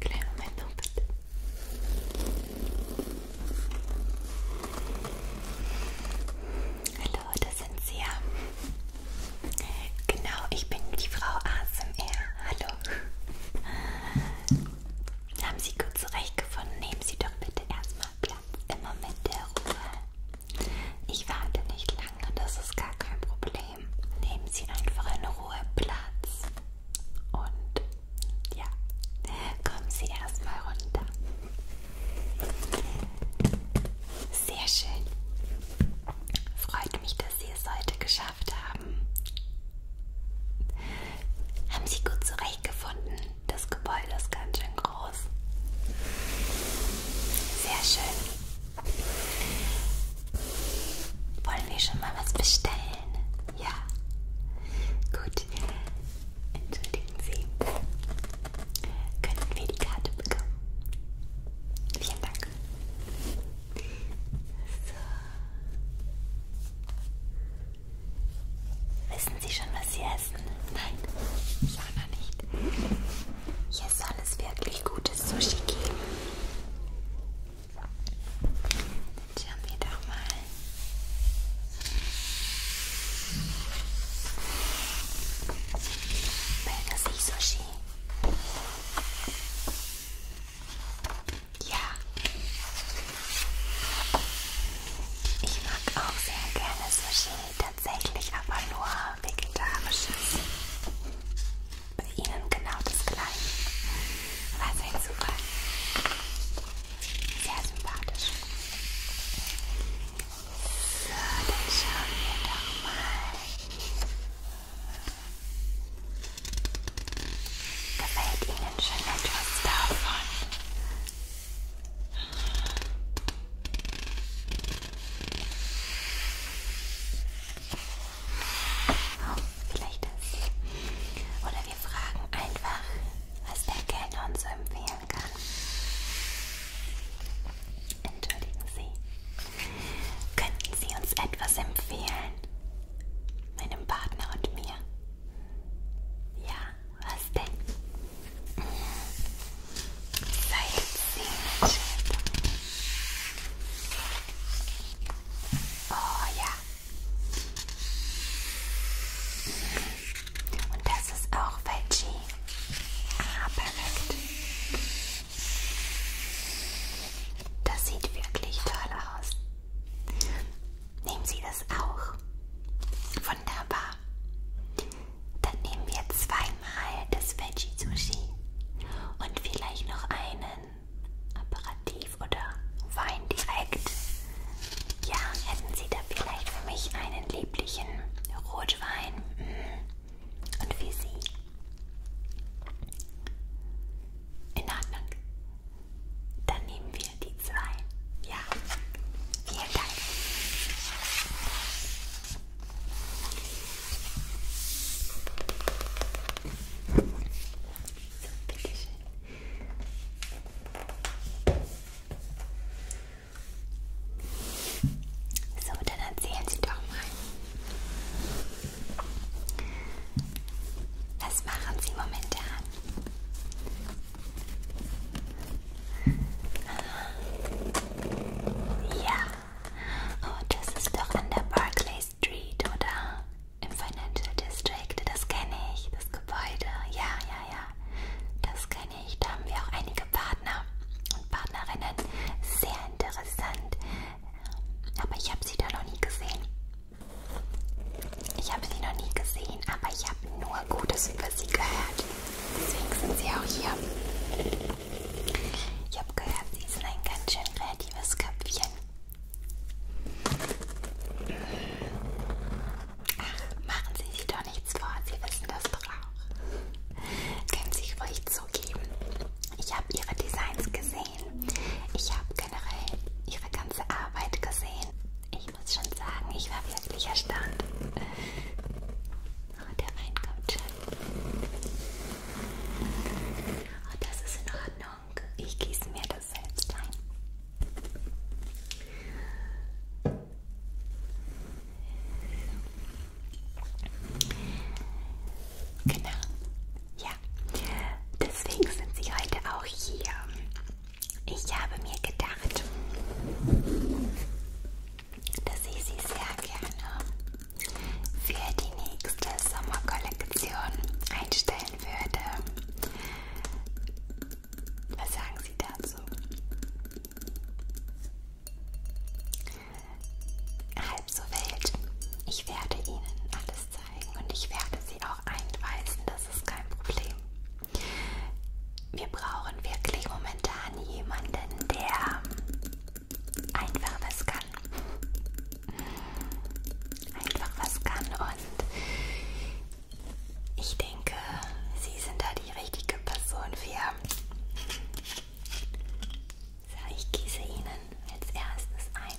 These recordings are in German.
Kleinen Moment noch bitte. Hallo, das sind Sie ja. Genau, ich bin die Frau ASMR. Hallo. Haben Sie gut zurechtgefunden? Nehmen Sie doch bitte erstmal Platz ja immer mit der Ruhe. Ich warte nicht lange, das ist gar kein Problem. Nehmen Sie einfach in Ruhe Platz. Und ja, kommen Sie erstmal runter. Sehr schön. Freut mich, dass Sie es heute geschafft haben. Haben Sie gut zurechtgefunden? Das Gebäude ist ganz schön groß. Sehr schön. Wollen wir schon mal was bestellen? Ja. Gut. Entschuldigen Sie. Könnten wir die Karte bekommen? Vielen Dank. So. Wissen Sie schon, was Sie essen? Nein. Ja, nein gar nicht. Hier soll es wirklich gutes Sushi geben. Dann schauen wir doch mal. Meldet sich Sushi. Ja. Ich mag auch sehr gerne Sushi tatsächlich aber nur vegetarisches. Bei Ihnen genau das gleiche. Was ein Zufall. Sehr sympathisch. So, dann schauen wir doch mal. Gefällt Ihnen schon etwas davon? Oh, vielleicht das. Oder wir fragen einfach, was der Kellner uns empfehlen kann. Entschuldigen Sie. Könnten Sie uns etwas empfehlen? Meinem Partner und mir? Ja. Was denn? Seid Oh ja. Und das ist auch Veggie. Ah, perfekt. Das sieht wirklich toll aus. Nehmen Sie das auch. Wunderbar. Dann nehmen wir zweimal das Veggie Sushi und vielleicht noch einen Apparativ oder Wein direkt. Ja, hätten Sie da vielleicht für mich einen lieblichen Rotwein? Mhm. Und für Sie? In Ordnung. Dann nehmen wir die zwei. Ja? Ja, vielen Dank. So, bitteschön. So, dann erzählen Sie doch mal. Was machen Sie momentan? Ja. Oh, das ist doch an der Barclay Street, oder? Im Financial District. Das kenne ich, das Gebäude. Ja, ja, ja. Das kenne ich. Da haben wir auch einige Partner und Partnerinnen. Sehr interessant. Aber ich habe sie da noch nie gesehen. Ich habe sie noch nie gesehen, aber ich habe nur Gutes über sie gehört. Deswegen sind sie auch hier. Ich habe gehört, sie sind ein ganz schön kreatives Köpfchen. Ach, machen Sie sich doch nichts vor, Sie wissen das doch auch. Können Sie ruhig zugeben. Ich habe Ihre Designs gesehen. Ich habe generell Ihre ganze Arbeit gesehen. Ich muss schon sagen, ich war wirklich erstaunt. Ah, der Wein kommt schon. Ah, das ist in Ordnung. Ich gieße mir das selbst ein. Genau. Ja. Deswegen sind sie heute auch hier. Ich habe mir gedacht, dass ich sie sehr gerne für die nächste Sommerkollektion einstellen würde. Was sagen Sie dazu? Halb so wild. Ich werde Ihnen alles zeigen und ich werde Sie auch einweisen, das ist kein Problem. Wir brauchen wirklich momentan jemanden, der einfach was kann. Einfach was kann und ich denke, Sie sind da die richtige Person für. So, ich gieße Ihnen als erstes ein.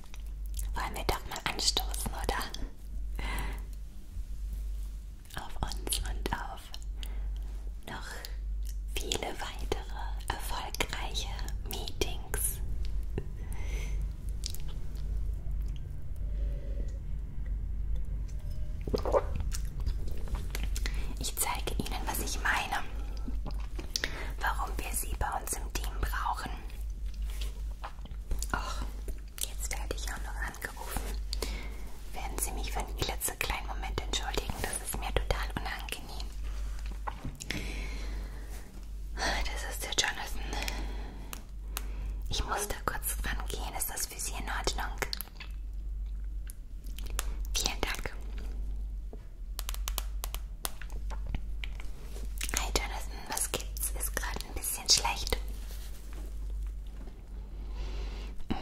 Wollen wir doch mal anstoßen, oder? Auf uns und auf noch viele weitere erfolgreiche Meetings. Ich zeige Ihnen, was ich meine, warum wir Sie bei uns im Team brauchen. Och, Jetzt werde ich auch noch angerufen. Werden Sie mich für einen klitzekleinen Moment entschuldigen? Das ist mir total unangenehm. Das ist der Jonathan. Ich muss da kurz dran gehen. Ist das für Sie in Ordnung? Vielen Dank. Hi Jonathan, was gibt's? Ist gerade ein bisschen bisschen schlecht. Mm.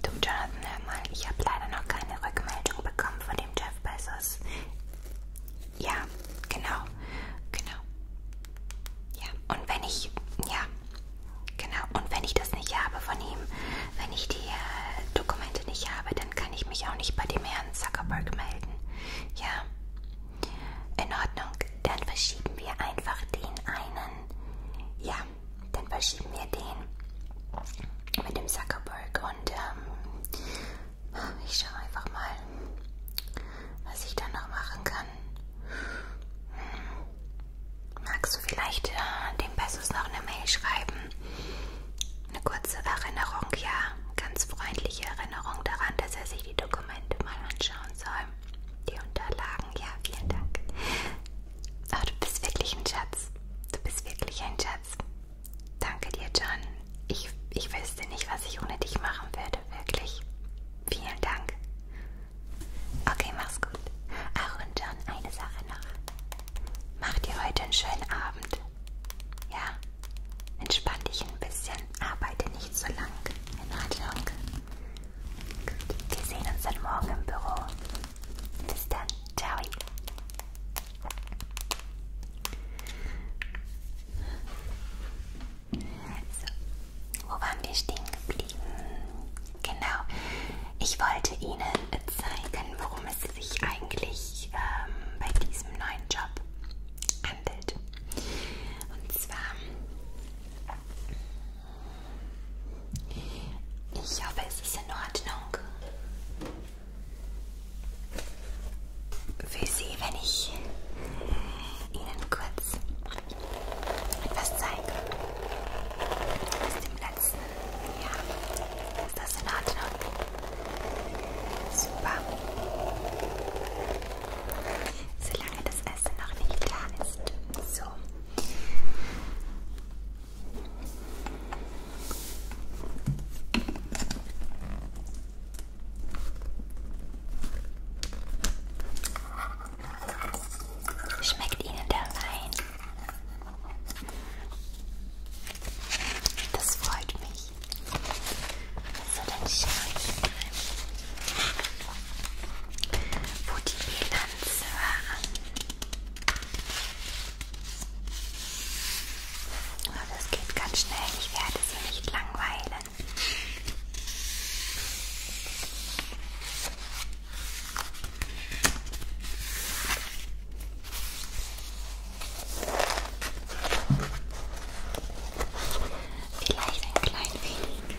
Du, Jonathan, hör mal, ich habe leider noch keine Rückmeldung bekommen von dem Jeff Bezos. Ja, genau, genau. Ja, und wenn ich, ja, genau, und wenn ich das nicht habe von ihm, wenn ich die äh, Dokumente nicht habe, dann kann ich mich auch nicht bei dem Herrn Zuckerberg melden. Ja, in Ordnung, dann verschieben wir einfach den einen. Ja, dann verschieben wir den mit dem Zuckerberg und ähm, ich schaue einfach mal, was ich dann noch machen kann. Hm. Magst du vielleicht äh, dem Bessus noch eine Mail schreiben? Eine kurze Erinnerung, ja, ganz freundliche Erinnerung. Erinnerung daran, dass er sich die Dokumente mal anschauen soll. Die Unterlagen, ja, vielen Dank. Oh, du bist wirklich ein Schatz. Du bist wirklich ein Schatz. Danke dir, John. Ich, ich wüsste nicht, was ich ohne dich machen würde, wirklich. Vielen Dank. Okay, mach's gut. Ach, und John, eine Sache noch. Mach dir heute einen schönen Abend. Ja, Entspann dich ein bisschen. Arbeite nicht so lang. In Ordnung. Gut. Wir sehen uns dann morgen im Büro. Bis dann. Ciao. So. Also, wo waren wir stehen geblieben? Genau. Ich wollte Ihnen zeigen, worum es sich eigentlich ähm, bei diesem neuen Job handelt. Und zwar, ich hoffe, es ist in Ordnung für Sie, wenn ich Ihnen kurz etwas zeige aus dem letzten Jahr. Ist das in Ordnung? Super. Solange das Essen noch nicht da ist. So. Schmeckt Ihnen der Wein? Das freut mich. So, dann schaue ich mal, wo die Bilanz war. Oh, das geht ganz schnell, ich werde sie nicht langweilen. Vielleicht ein klein wenig.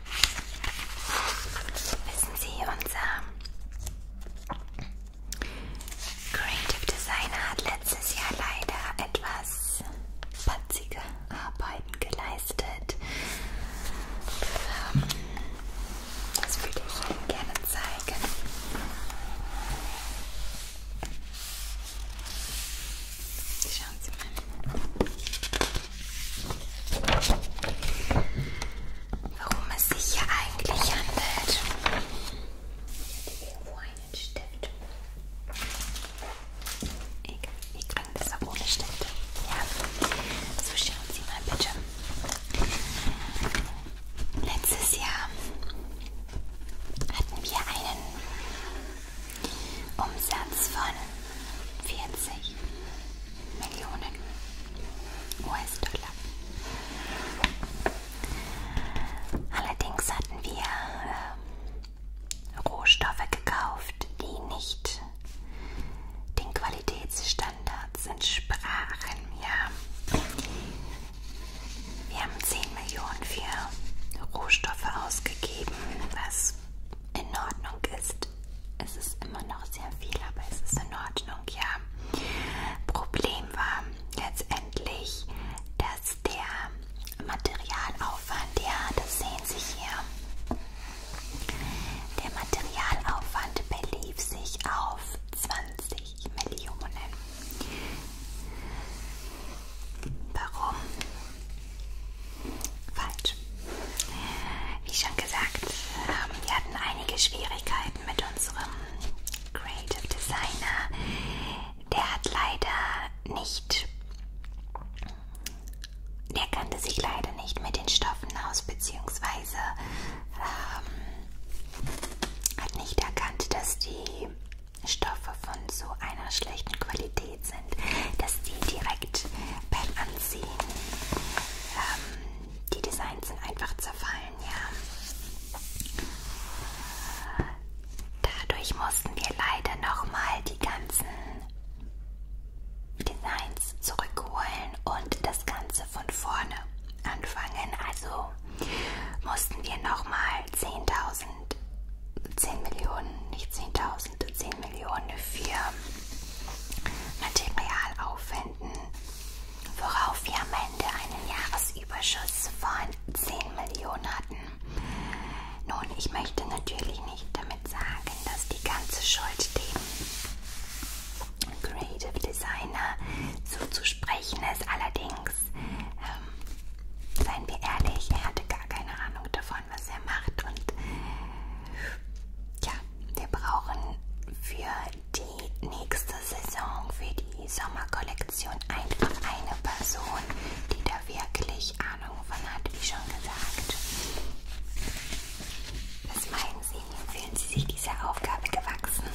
Wissen Sie, unser Creative Designer hat letztes Jahr leider etwas patzige Arbeiten geleistet. Ähm, das würde ich Ihnen gerne zeigen. Schauen Sie mal worum es sich hier eigentlich handelt. Ich hätte irgendwo einen Stift. Ich, ich kann das auch ohne Stift. Ja. So schauen Sie mal bitte. Letztes Jahr hatten wir einen Umsatz von 40 Millionen US-Dollar. Allerdings hatten wir äh, Rohstoffe gekauft, die nicht den Qualitätsstandards entsprachen. Ja. Wir haben 10 Millionen für Rohstoffe ausgegeben, was in Ordnung ist. Es ist immer noch sehr viel, aber es ist in Ordnung, ja. Problem war letztendlich, dass der Materialaufwand, ja, das sehen Sie hier, der Materialaufwand belief sich auf 20 Millionen. Warum? Weil Gut. Wie schon gesagt, ähm, wir hatten einige Schwierigkeiten mit unserem Creative Designer. Der hat leider nicht, der kannte sich leider nicht mit den Stoffen aus, beziehungsweise ähm, hat nicht erkannt, dass die Stoffe von so einer schlechten Qualität sind, dass die direkt beim Anziehen ähm, die Designs sind einfach zerfallen, ja. Dadurch mussten wir leider nochmal die ganzen Designs zurückholen und das Ganze von vorne anfangen. Also mussten wir nochmal 10.000, 10 Millionen, nicht 10.000, 10 Millionen für Material aufwenden, worauf wir am Ende einen Jahresüberschuss von 10 Millionen hatten. Nun, ich möchte natürlich nicht damit sagen, dass die ganze Schuld dem Creative Designer so zu sprechen ist. Allerdings, ähm, seien wir ehrlich, er hatte gar keine Ahnung davon, was er macht und ja, wir brauchen für die nächste Saison, für die Sommerkollektion einfach eine Person, die da wirklich Ahnung von hat, wie schon gesagt. Was meinen Sie? Fühlen Sie sich dieser Aufgabe gewachsen?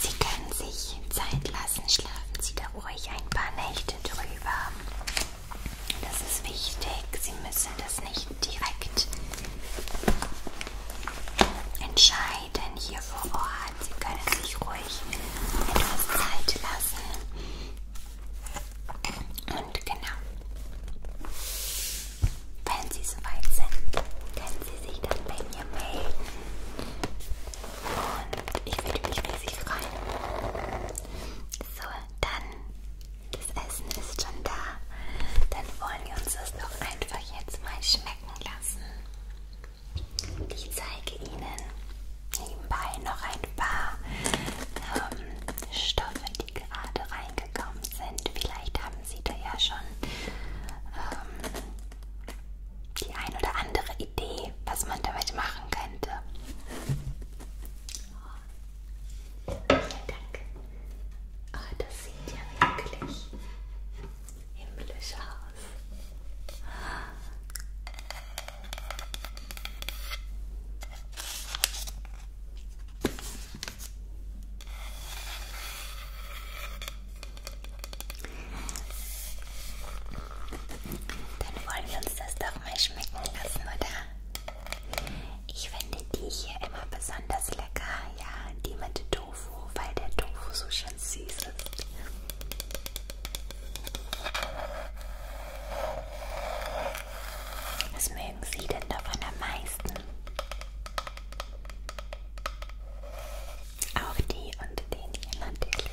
Sie können sich Zeit lassen lassen. Schlafen Sie da ruhig ein paar Nächte drüber. Das ist wichtig. Sie müssen das nicht direkt entscheiden hier vor Ort. Sie können sich ruhig etwas Zeit lassen. Und genau. Wenn Sie soweit sind, können Sie sich dann bei mir melden. Und ich würde mich riesig freuen. So, dann, das Essen ist schon da. Dann wollen wir uns das doch einfach jetzt mal schmecken lassen. Ich zeige Ihnen nebenbei noch ein paar ähm, Stoffe, die gerade reingekommen sind. Vielleicht haben Sie da ja schon ähm, die ein oder andere Idee, was man damit machen könnte. Oh, vielen Dank. Oh, das sieht ja wirklich himmlisch aus. Dann wollen wir uns das doch mal schmecken lassen, oder? Ich finde die hier immer besonders lecker, ja, die mit Tofu, weil der Tofu so schön süß ist. Was mögen Sie denn davon am meisten? Auch die und den hier natürlich.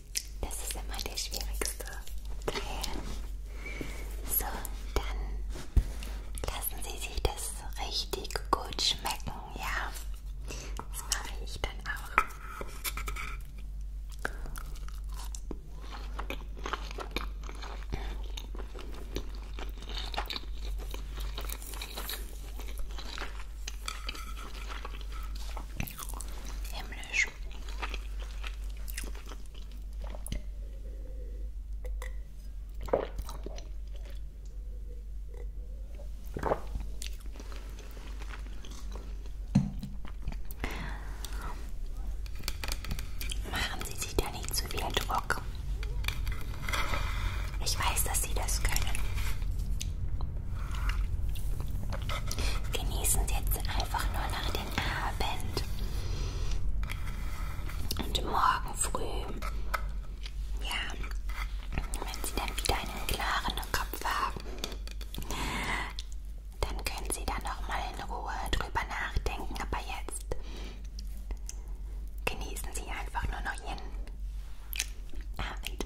Das ist immer der schwierigste Teil. So, dann lassen Sie sich das richtig gut schmecken, ja? Das mache ich dann auch. Himmel, Englisch. Machen Sie sich da nicht zu viel Druck. Ich weiß, dass Sie das können. Genießen Sie jetzt einfach nur noch den Abend. Und morgen früh, ja, wenn Sie dann wieder einen klaren Kopf haben, dann können Sie da nochmal in Ruhe drüber nachdenken. Aber jetzt genießen Sie einfach nur noch Ihren Abend.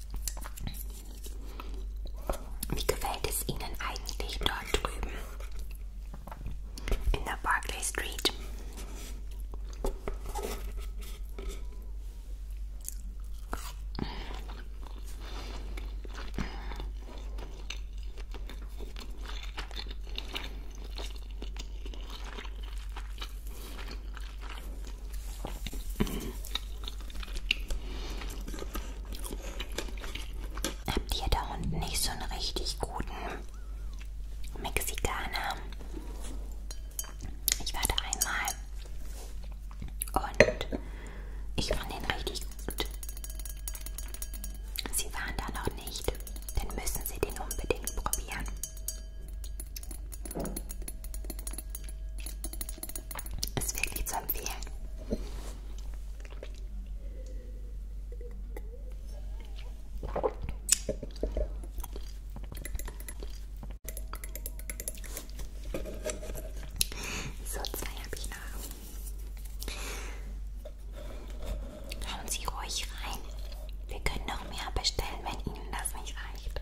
Wie gefällt es Ihnen eigentlich dort drüben? In der Barclay Street? Habt ihr da unten nicht so einen richtig guten Mexikaner? Ich warte einmal und ich fand den richtig gut. Sie waren da noch nicht, dann müssen Sie den unbedingt probieren. Ist wirklich zu empfehlen. So, zwei habe ich noch. Hauen Sie ruhig rein. Wir können noch mehr bestellen, wenn Ihnen das nicht reicht.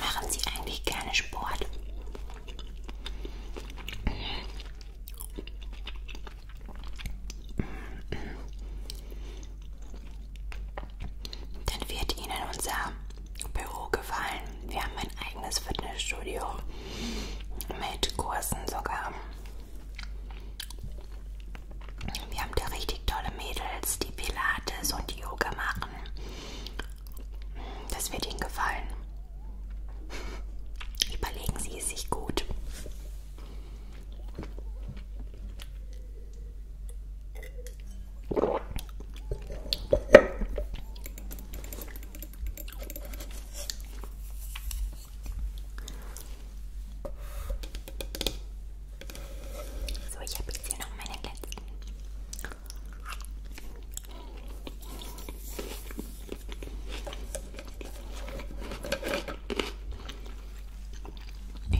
Machen Sie eigentlich gerne Sport? Dann wird Ihnen unser Büro gefallen. Wir haben ein eigenes Fitnessstudio mit Kursen sogar. Wir haben da richtig tolle Mädels, die Pilates und die Yoga machen. Das wird Ihnen gefallen. Überlegen Sie es sich gut. So, ich habe jetzt hier noch meine letzten.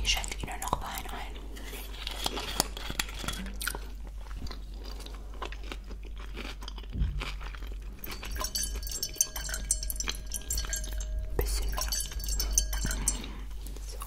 Ich schenke Ihnen noch Wein ein. Bisschen mehr. So.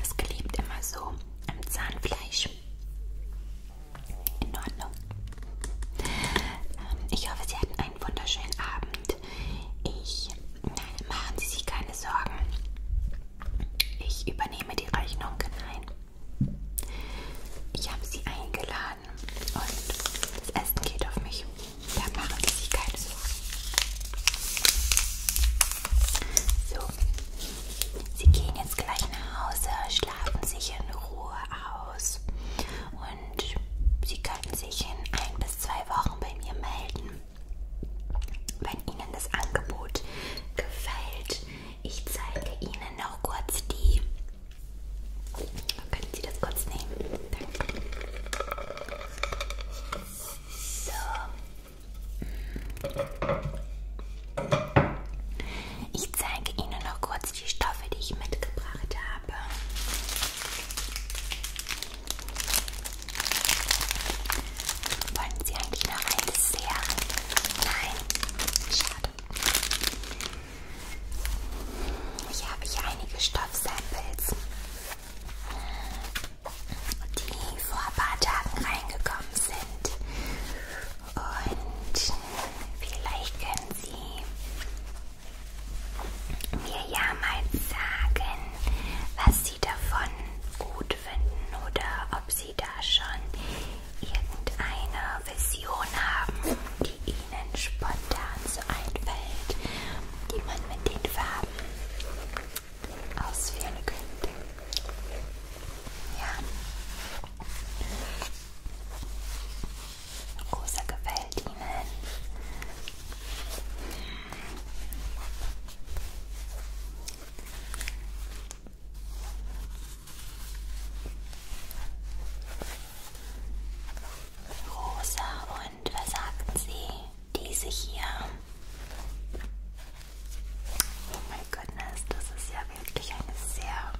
Es klebt immer so am Zahnfleisch. In Ordnung. Ähm, ich hoffe, Sie hatten einen wunderschönen Abend. Ich nein, machen Sie sich keine Sorgen. Ich übernehme die Rechnung. Nein. Ich habe Sie eingeladen und das Essen geht auf mich. Da machen Sie sich keine Sorgen. So, Sie gehen jetzt gleich nach Hause, schlafen sich in Ruhe aus und Sie können sich in ein bis zwei Wochen bei mir melden. Wenn Ihnen das Angebot gefällt, ich zeige Ihnen noch kurz die. Können Sie das kurz nehmen? Danke. So. Ich zeige Ihnen noch kurz die Stoffe, die ich mitgebracht habe. Wollen Sie eigentlich noch ein Dessert? Nein, schade. Ich habe hier einige Stoffsamples die vor ein paar Tagen reingekommen sind. Und vielleicht können Sie mir ja mal sagen, was Sie davon gut finden oder ob Sie da schon irgendeine Vision haben, die Ihnen spontan so einfällt, die man mit den Farben ausführen könnte. Ja. Rosa gefällt Ihnen. Rosa, und was sagten Sie? diese hier. Oh mein Goodness, das ist ja wirklich eine sehr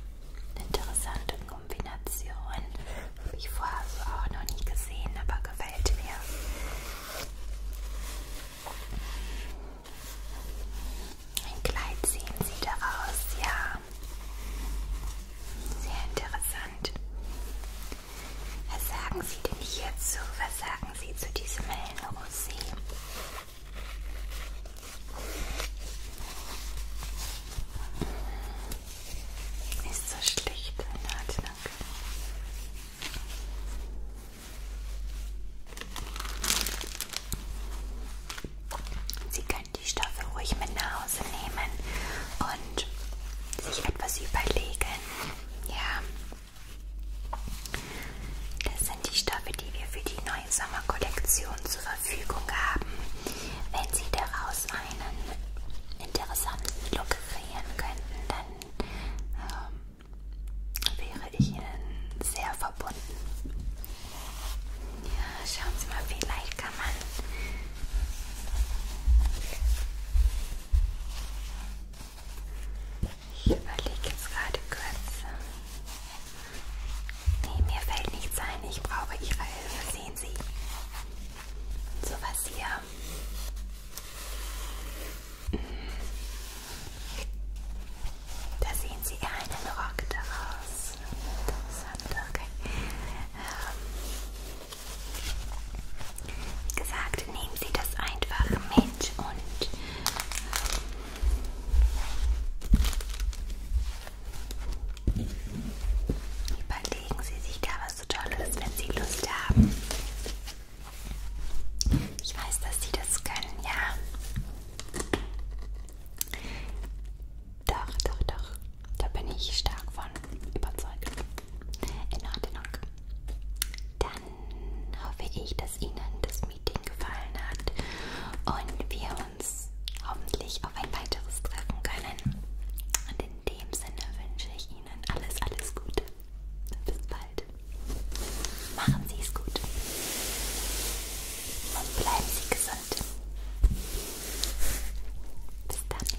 interessante Kombination. Habe ich vorher so auch noch nie gesehen, aber gefällt mir. Ein Kleid sehen Sie daraus, ja. Sehr interessant. Was sagen Sie denn hierzu? Was sagen Sie zu diesem hellen Rosé? Ist so schlicht, na, danke. Sie können die Stoffe ruhig mit nach Hause nehmen und sich etwas überlegen. Ja, das sind die Stoffe, die wir für die neue Sommerkollektion zur Verfügung haben. Wenn Sie daraus einen interessanten Look kreieren könnten, dann ähm, wäre ich Ihnen sehr verbunden. Ja, schauen Sie mal, vielleicht kann man ich überlege jetzt gerade kurz. Nee, mir fällt nichts ein. Ich brauche Ihre Hilfe. Sehen Sie. So was hier. Hm. Da sehen Sie einen Rock daraus. Interessant, okay. Ähm, wie gesagt, nehmen Sie das einfach mit und ähm, überlegen Sie sich da was so Tolles, wenn Sie Lust haben. Ich weiß, dass Sie das können, ja. Doch, doch, doch. Da bin ich stark von überzeugt. In Ordnung. Dann hoffe ich, dass Ihnen das Meeting gefallen hat und wir uns hoffentlich auf ein weiteres treffen können. Und in dem Sinne wünsche ich Ihnen alles, alles Gute. Bis bald. Machen Sie es gut. Und bleiben Sie gesund. Bis dann.